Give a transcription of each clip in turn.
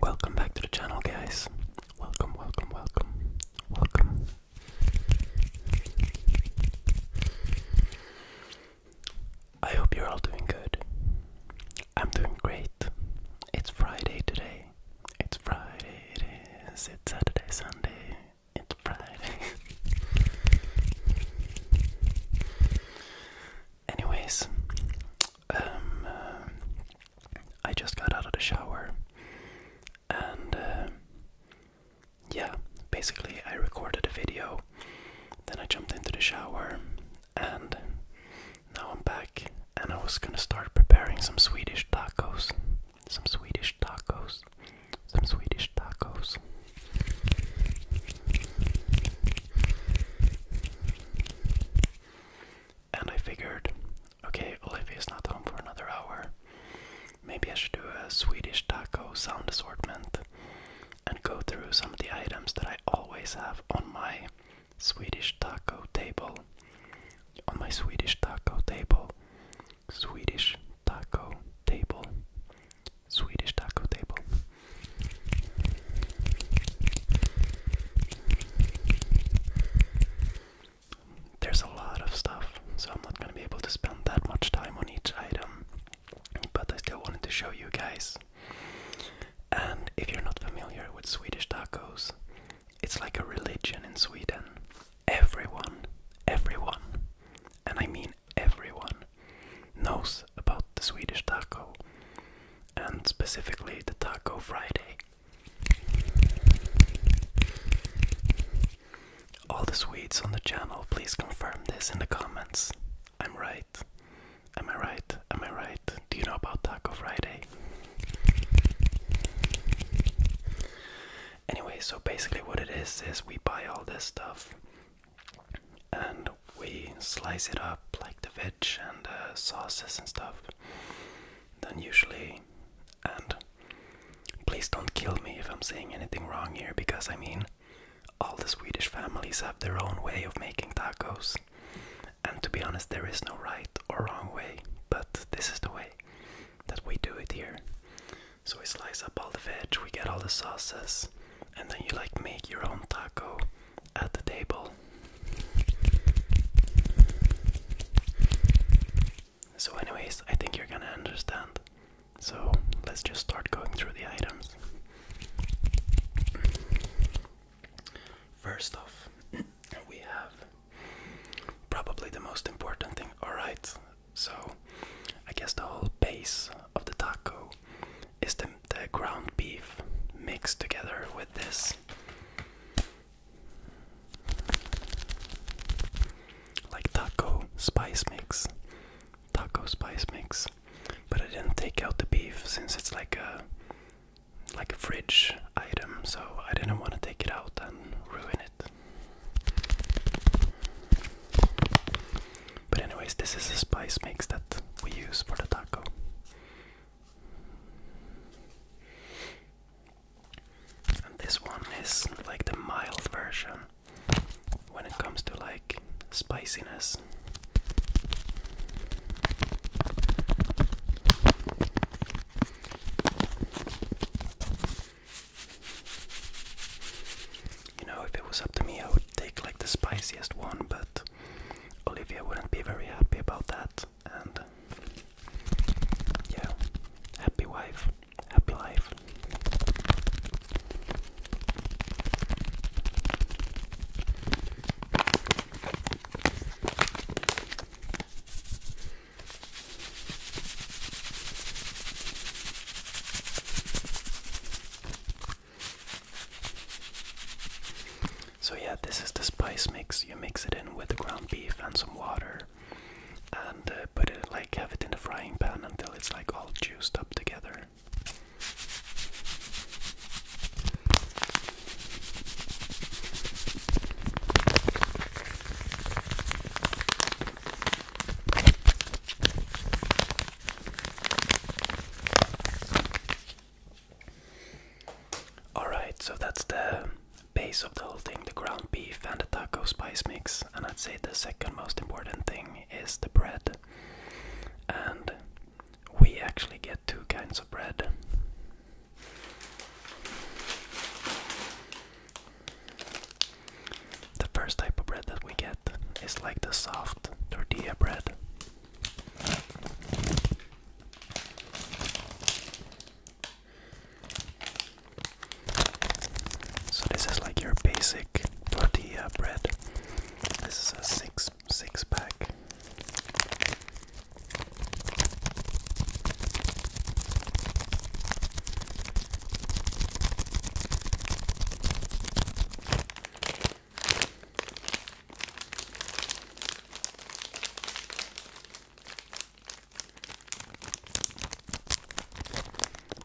Welcome back to the channel, guys. Welcome, welcome, welcome, welcome. I hope you're all doing good. I'm doing great. It's Friday today. It's Friday, it is. It's Saturday, Sunday. It's Friday. Anyways, um, uh, I just got out of the shower and uh, yeah, basically, I recorded a video, then I jumped into the shower, and now I'm back. And I was gonna start preparing some Swedish tacos some Swedish tacos, some Swedish tacos. And I figured, okay, Olivia's not home for another hour. Maybe I should do a Swedish taco sound assortment and go through some of the items that I always have on my Swedish taco table. On my Swedish taco table, Swedish taco table. Swedish taco table. There's a lot of stuff, so I'm not going to be able to spend that much time on each item, but I still wanted to show you guys. And if you're not familiar with Swedish tacos, it's like a religion in Sweden everyone, everyone, and I mean everyone, knows about the Swedish taco, and specifically the Taco Friday. All the Swedes on the channel, please confirm this in the comments. I'm right. Am I right? Am I right? Do you know about Taco Friday? Anyway, so basically, what it is is we buy all this stuff and we slice it up like the veg and uh, sauces and stuff. Then, usually, and please don't kill me if I'm saying anything wrong here because I mean, all the Swedish families have their own way of making tacos. And to be honest, there is no right or wrong way, but this is the way that we do it here. So we slice up all the veg, we get all the sauces, and then you like make your own taco at the table. So, anyways, I think you're gonna understand. So, let's just start going through the items. First off, we have probably the most important thing. Alright, so, I guess the whole base of the taco is the, the ground beef mixed together with this. Like taco spice mix. Taco spice mix. But I didn't take out the beef since it's like a like a fridge item, so I didn't want to take it out and ruin it. But anyways, this is the spice mix that we use for the taco. And this one is like the mild version when it comes to like spiciness. You know, if it was up to me, I would take like the spiciest one, but Olivia wouldn't be very happy about that. And yeah, happy wife, happy life. So, yeah, this is the spice mix. You mix it in with the ground beef and some water, and uh, put it like have it in the frying pan until it's like all juiced up together. Alright, so that's the base of the whole thing the ground beef and the taco spice mix. And I'd say the second most important thing is the bread. And we actually get two kinds of bread. The first type of bread that we get is like the soft tortilla bread. So this is like your basic tortilla bread. This is a six six pack.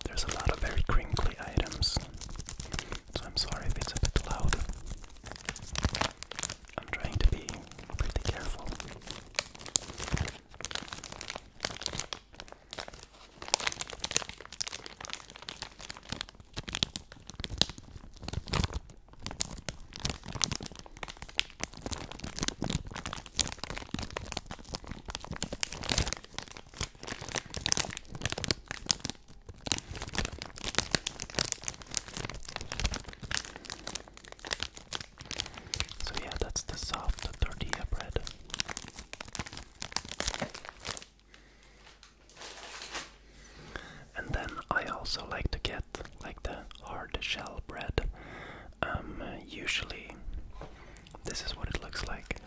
There's a lot of very crinkly items, so I'm sorry if it's a bit loud. I'm trying to be pretty careful. So yeah, that's the soft tortilla bread. And then I also like to get like the hard shell bread. Um, usually, this is what it looks like.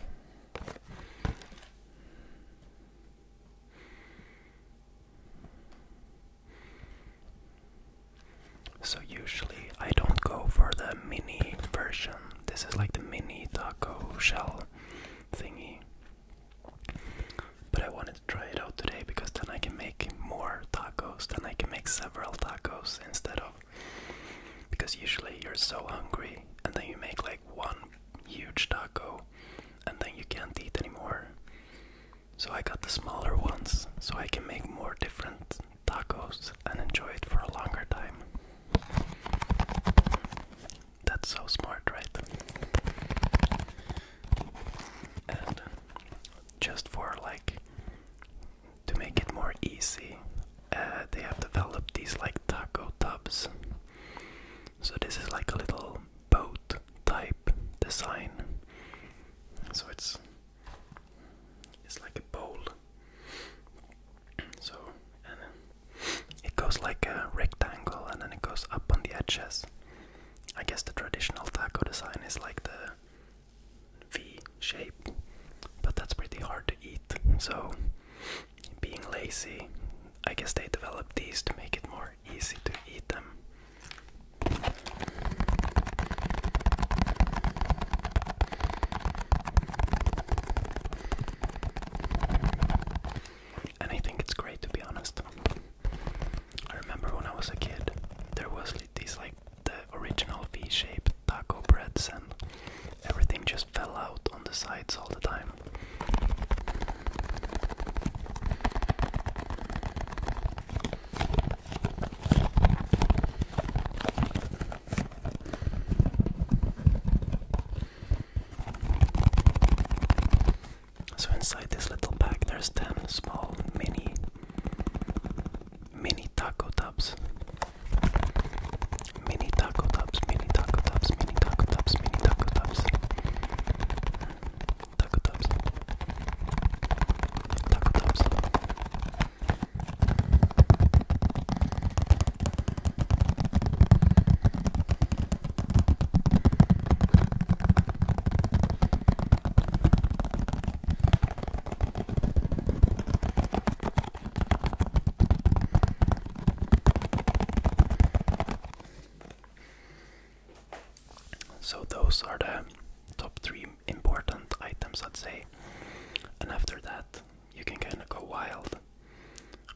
So, usually, I don't go for the mini version this is like the mini taco shell thingy. But I wanted to try it out today because then I can make more tacos, then I can make several tacos instead of. Because usually you're so hungry and then you make like one huge taco and then you can't eat anymore. So I got the smaller ones so I can make more different tacos and enjoy it for a longer time. That's so smart, right? And just for like to make it more easy, uh, they have developed these like taco tubs. So this is like a little boat type design. So it's it's like a bowl so, it goes like a rectangle and then it goes up on the edges. I guess the traditional taco design is like the V shape, but that's pretty hard to eat. So, being lazy, I guess they developed these to make it more easy to eat them. And I think it's great to be honest. I remember when I was a kid, there was these like the original V-shaped taco breads, and everything just fell out on the sides all the time. So inside this little bag, there's 10 small mini mini taco tubs. Mini taco tubs, mini taco tubs, mini taco tubs, mini taco tubs. Taco tubs. Taco tubs. So, those are the top three important items, I'd say, and after that, you can kind of go wild.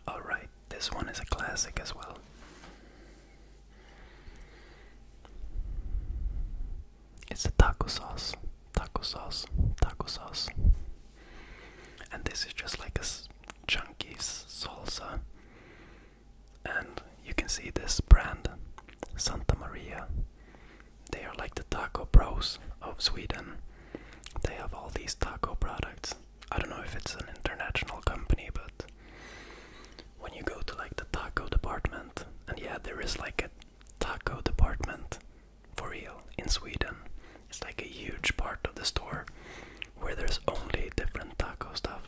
Alright, this one is a classic as well. It's the taco sauce, taco sauce, taco sauce. And this is just like a chunky salsa. And you can see this brand, Santa Maria. They are like the taco pros of Sweden. They have all these taco products. I don't know if it's an international company, but when you go to like the taco department, and yeah, there is like a taco department for real in Sweden. It's like a huge part of the store where there's only different taco stuff.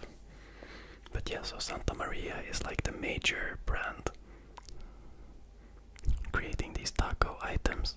But yeah, so Santa Maria is like the major brand creating these taco items.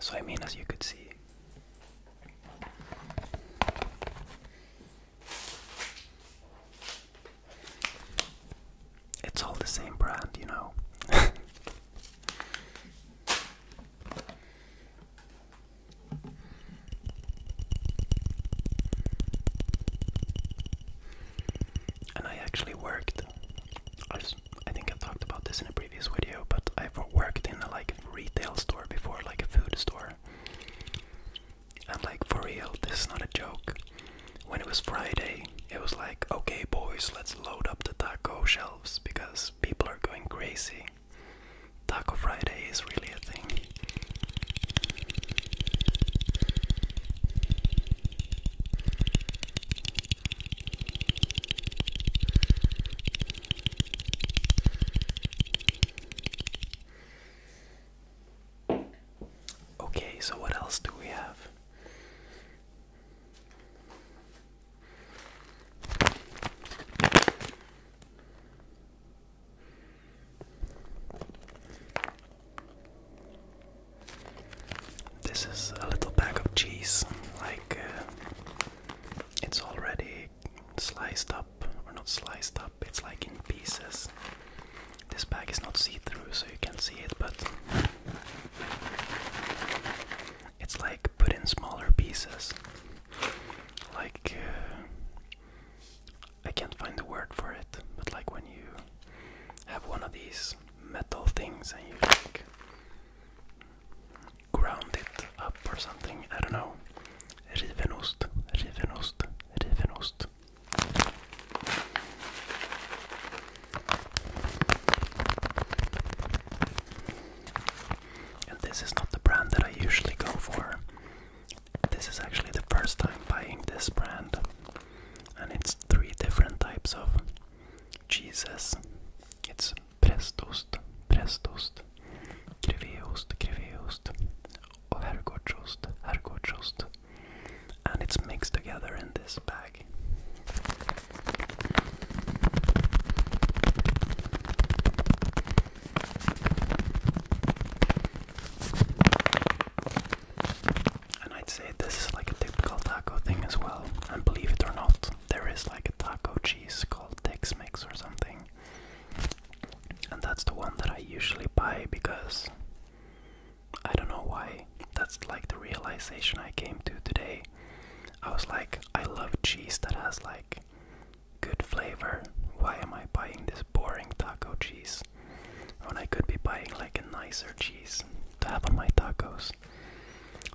So, I mean, as you could see, it's all the same brand, you know. And I actually worked. I, was, think I talked about this in a previous video, but I've worked in a like retail store before, like a food store. And like for real, this is not a joke. When it was Friday, it was like, okay, boys, let's load up the taco shelves because people are going crazy. Taco Friday is really a thing. Okay, so what else do we have? This is a little bag of cheese, like uh, it's already sliced up, or not sliced up, it's like in pieces. This bag is not see through, so you can not see it, but it's like put in smaller pieces, like uh, I can't find the word for it, but like when you have one of these metal things and you like ground it up or something, I don't know. Rivenost, rivenost, rivenost. And this is not the brand that I usually go for. This is actually the first time buying this brand, and it's three different types of cheeses. It's prästost, prästost, greveost, greveost, och herrgårdsost, herrgårdsost. And it's mixed together in this bag. And I'd say this is like a typical taco thing as well. And believe it or not, there is like a taco cheese called Tex Mex or something. And that's the one that I usually buy because I don't know why. That's like the realization I came to today. I was like, I love cheese that has like good flavor. Why am I buying this? boring taco cheese when I could be buying like a nicer cheese to have on my tacos.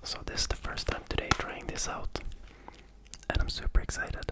So this is the first time today trying this out and I'm super excited.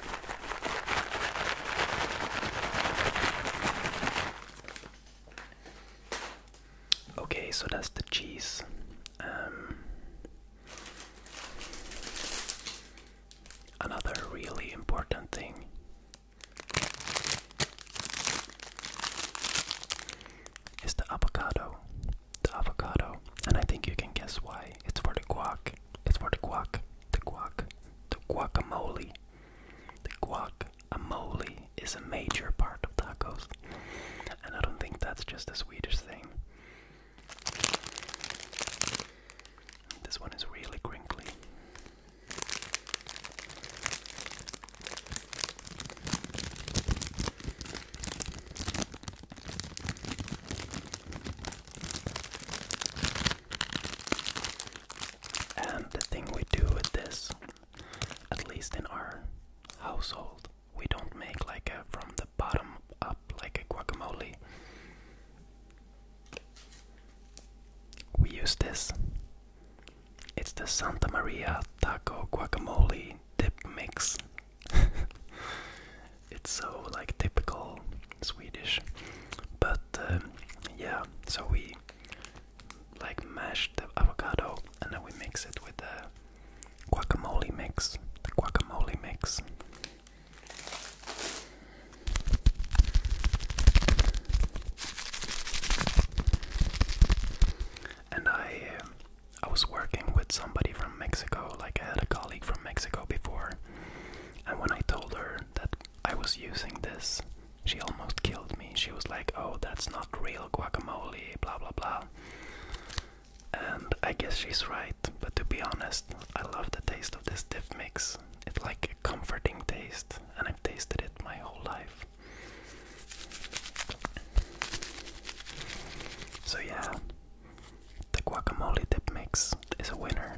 Okay, so that's the cheese. Um, another really important thing is the avocado the avocado. And I think you can guess why. It's for the guac. It's for the guac. The guac. The guacamole. The guacamole is a major part of tacos. And I don't think that's just a Swedish thing. This one is really crinkly. And the thing we do with this, at least in our household, we don't make like from the bottom up like a guacamole. We use this. It's the Santa Maria Taco Guacamole Dip Mix it's so like typical Swedish. But uh, yeah, so we like mashed the avocado and then we mix it with the guacamole mix. The guacamole mix. And I, uh, I was working with somebody from Mexico. Like I had a colleague from Mexico before, and when I told her that I was using this, she almost killed me. She was like, oh, that's not real guacamole, blah blah blah. And I guess she's right, but to be honest, I love the taste of this dip mix. It's like a comforting taste, and I've tasted it my whole life. So, yeah, the guacamole dip mix is a winner.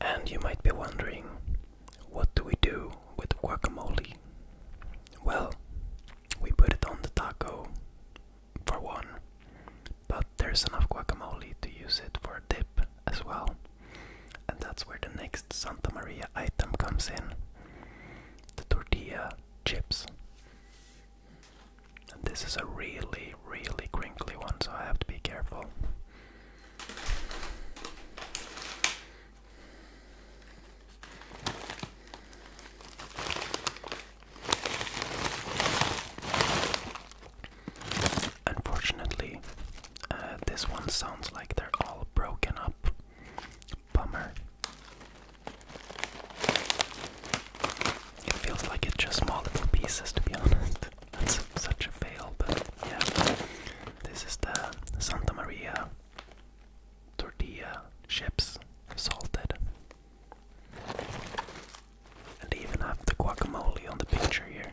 And you might be wondering, what do we do with guacamole? Well, we put it on the taco for one, but there's enough guacamole to use it for a dip as well. And that's where the next Santa Maria item comes in the tortilla chips. And this is a really, really crinkly one, so I have to be careful. Unfortunately, uh, this one sounds like they're all broken up Bummer. It feels like it's just small little pieces, to be honest. That's such a fail, but yeah. This is the Santa Maria tortilla chips, salted. And they even have the guacamole on the picture here.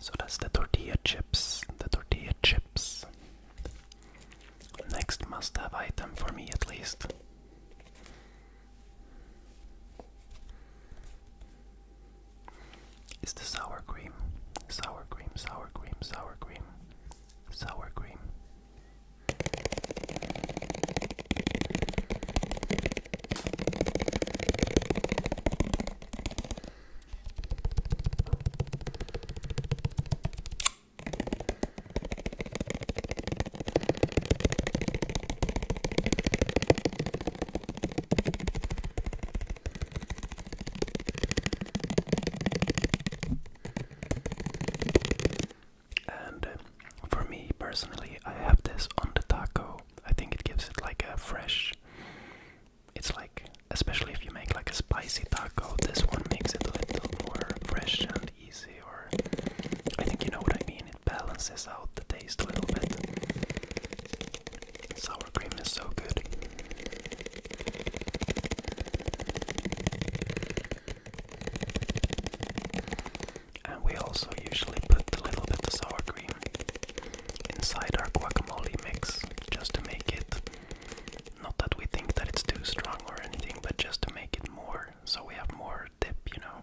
So that's the tortilla chips, the tortilla chips. Next must have item for me at least. It's the sour cream. Sour cream, sour cream, sour cream, sour cream. And um, for me personally, I have this on the taco. I think it gives it like a fresh. It's like, especially if you make like a spicy taco, this one makes it a little more fresh and easy. Or I think you know what I mean. It balances out the taste a little bit. Sour cream is so good. And we also usually put a little bit of sour cream inside our guacamole mix just to make it not that we think that it's too strong or anything, but just to make it more so we have more dip, you know.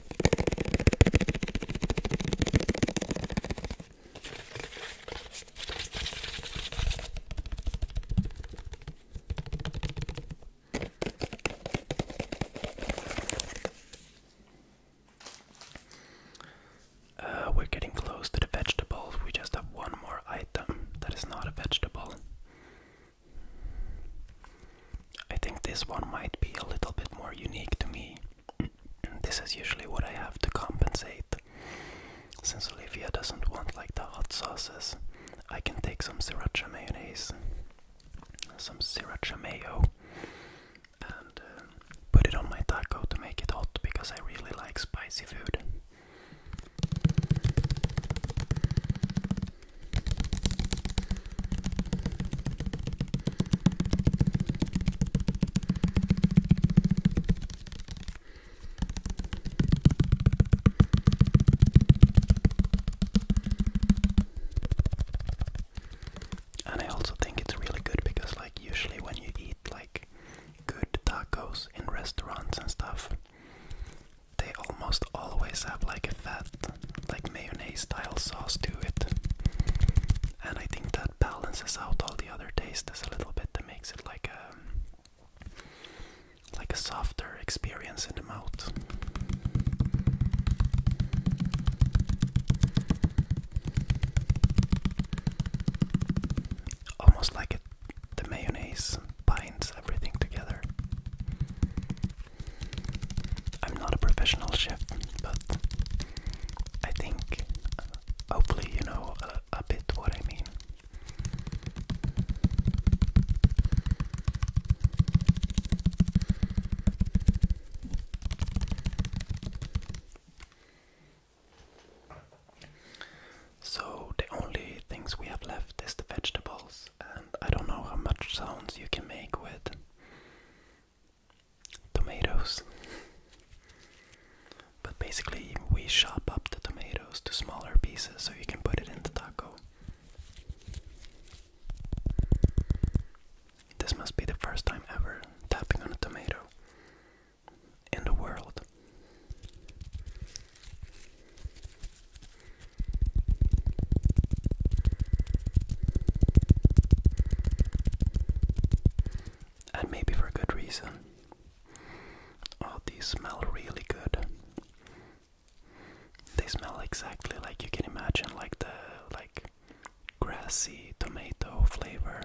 Uh, we're getting close to the vegetables. We just have one more item that is not a vegetable. I think this one might be a little bit more unique to me. this is usually what I have to compensate. Since Olivia doesn't want like the hot sauces, I can take some sriracha mayonnaise, some sriracha mayo, and uh, put it on my taco to make it hot because I really like spicy food. And I also think it's really good because, like, usually when you eat like good tacos in restaurants and stuff, they almost always have like fat, like mayonnaise style sauce to it. And I think that balances out all the other tastes a little bit. That makes it like a like a softer experience in the mouth. Almost like it, the mayonnaise binds everything together. I'm not a professional chef, but I think uh, hopefully you know uh, a bit what I mean. So, the only things we have left is the vegetables, and I don't know how much sounds you can make with tomatoes. but basically, we chop up the tomatoes to smaller pieces so you can put it in the taco. This must be the first time ever tapping on a tomato in the world. And maybe for a good reason. Oh, these smell really good. They smell exactly like you can imagine, like the like grassy tomato flavor.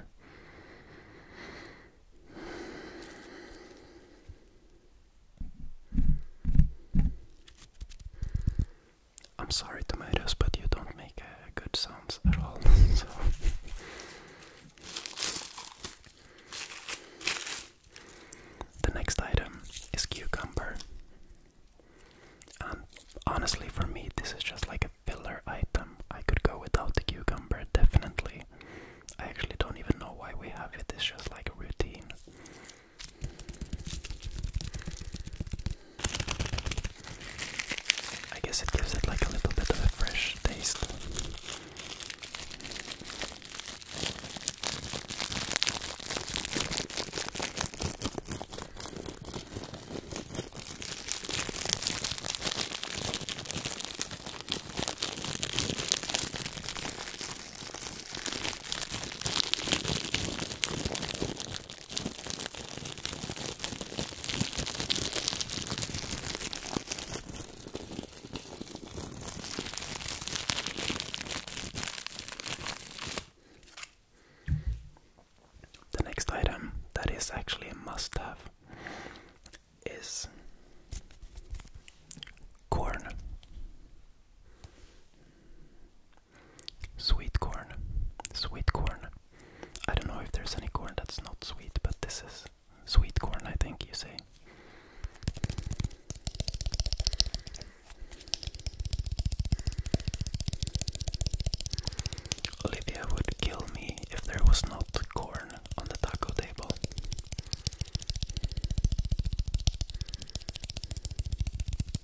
I'm sorry, tomatoes, but you don't make uh, good sounds at all. so. The next item is cucumber. And honestly, for me, this is just like a filler item. I could go without cucumber, definitely. I actually don't even know why we have it, it's just like a routine. I guess it gives it like a little bit of a fresh taste. The next item that is actually a must have is corn. Sweet corn. Sweet corn. I don't know if there's any corn that's not sweet, but this is sweet corn, I think you say. Olivia would kill me if there was not corn on the taco table.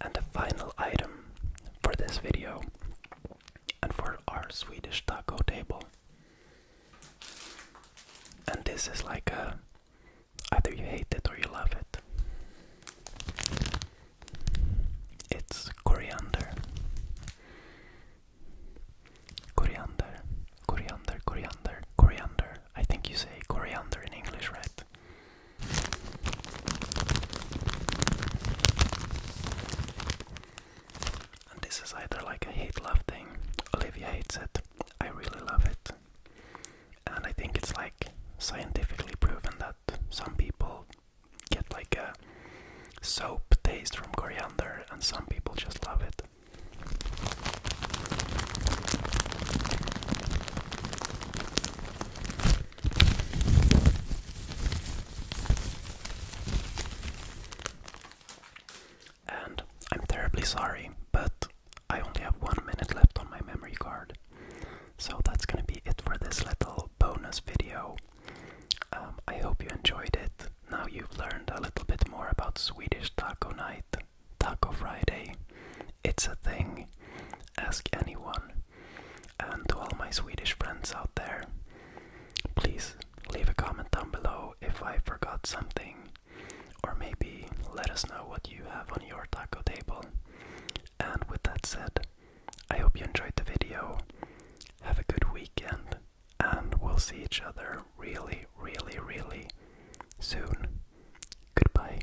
And the final item for this video and for our Swedish taco table. And this is like a either you hate it or you love it. It's coriander. Coriander, coriander, coriander, coriander. I think you say coriander in English, right? this is either like a hate love thing. Olivia hates it. I really love it. And I think it's like scientifically proven that some people get like a soap taste from coriander and some people just love it. And I'm terribly sorry, but I only have one minute left on my memory card. So that's gonna be it for this little bonus video. Um, I hope you enjoyed it. Now you've learned a little bit more about Swedish Taco Night, Taco Friday, it's a thing. Ask anyone. And to all my Swedish friends out there, please leave a comment down below if I forgot something. Or maybe let us know what you have on your taco table. And with that said, I hope you enjoyed the video. Have a good weekend, and we'll see each other really, really, really soon. Goodbye.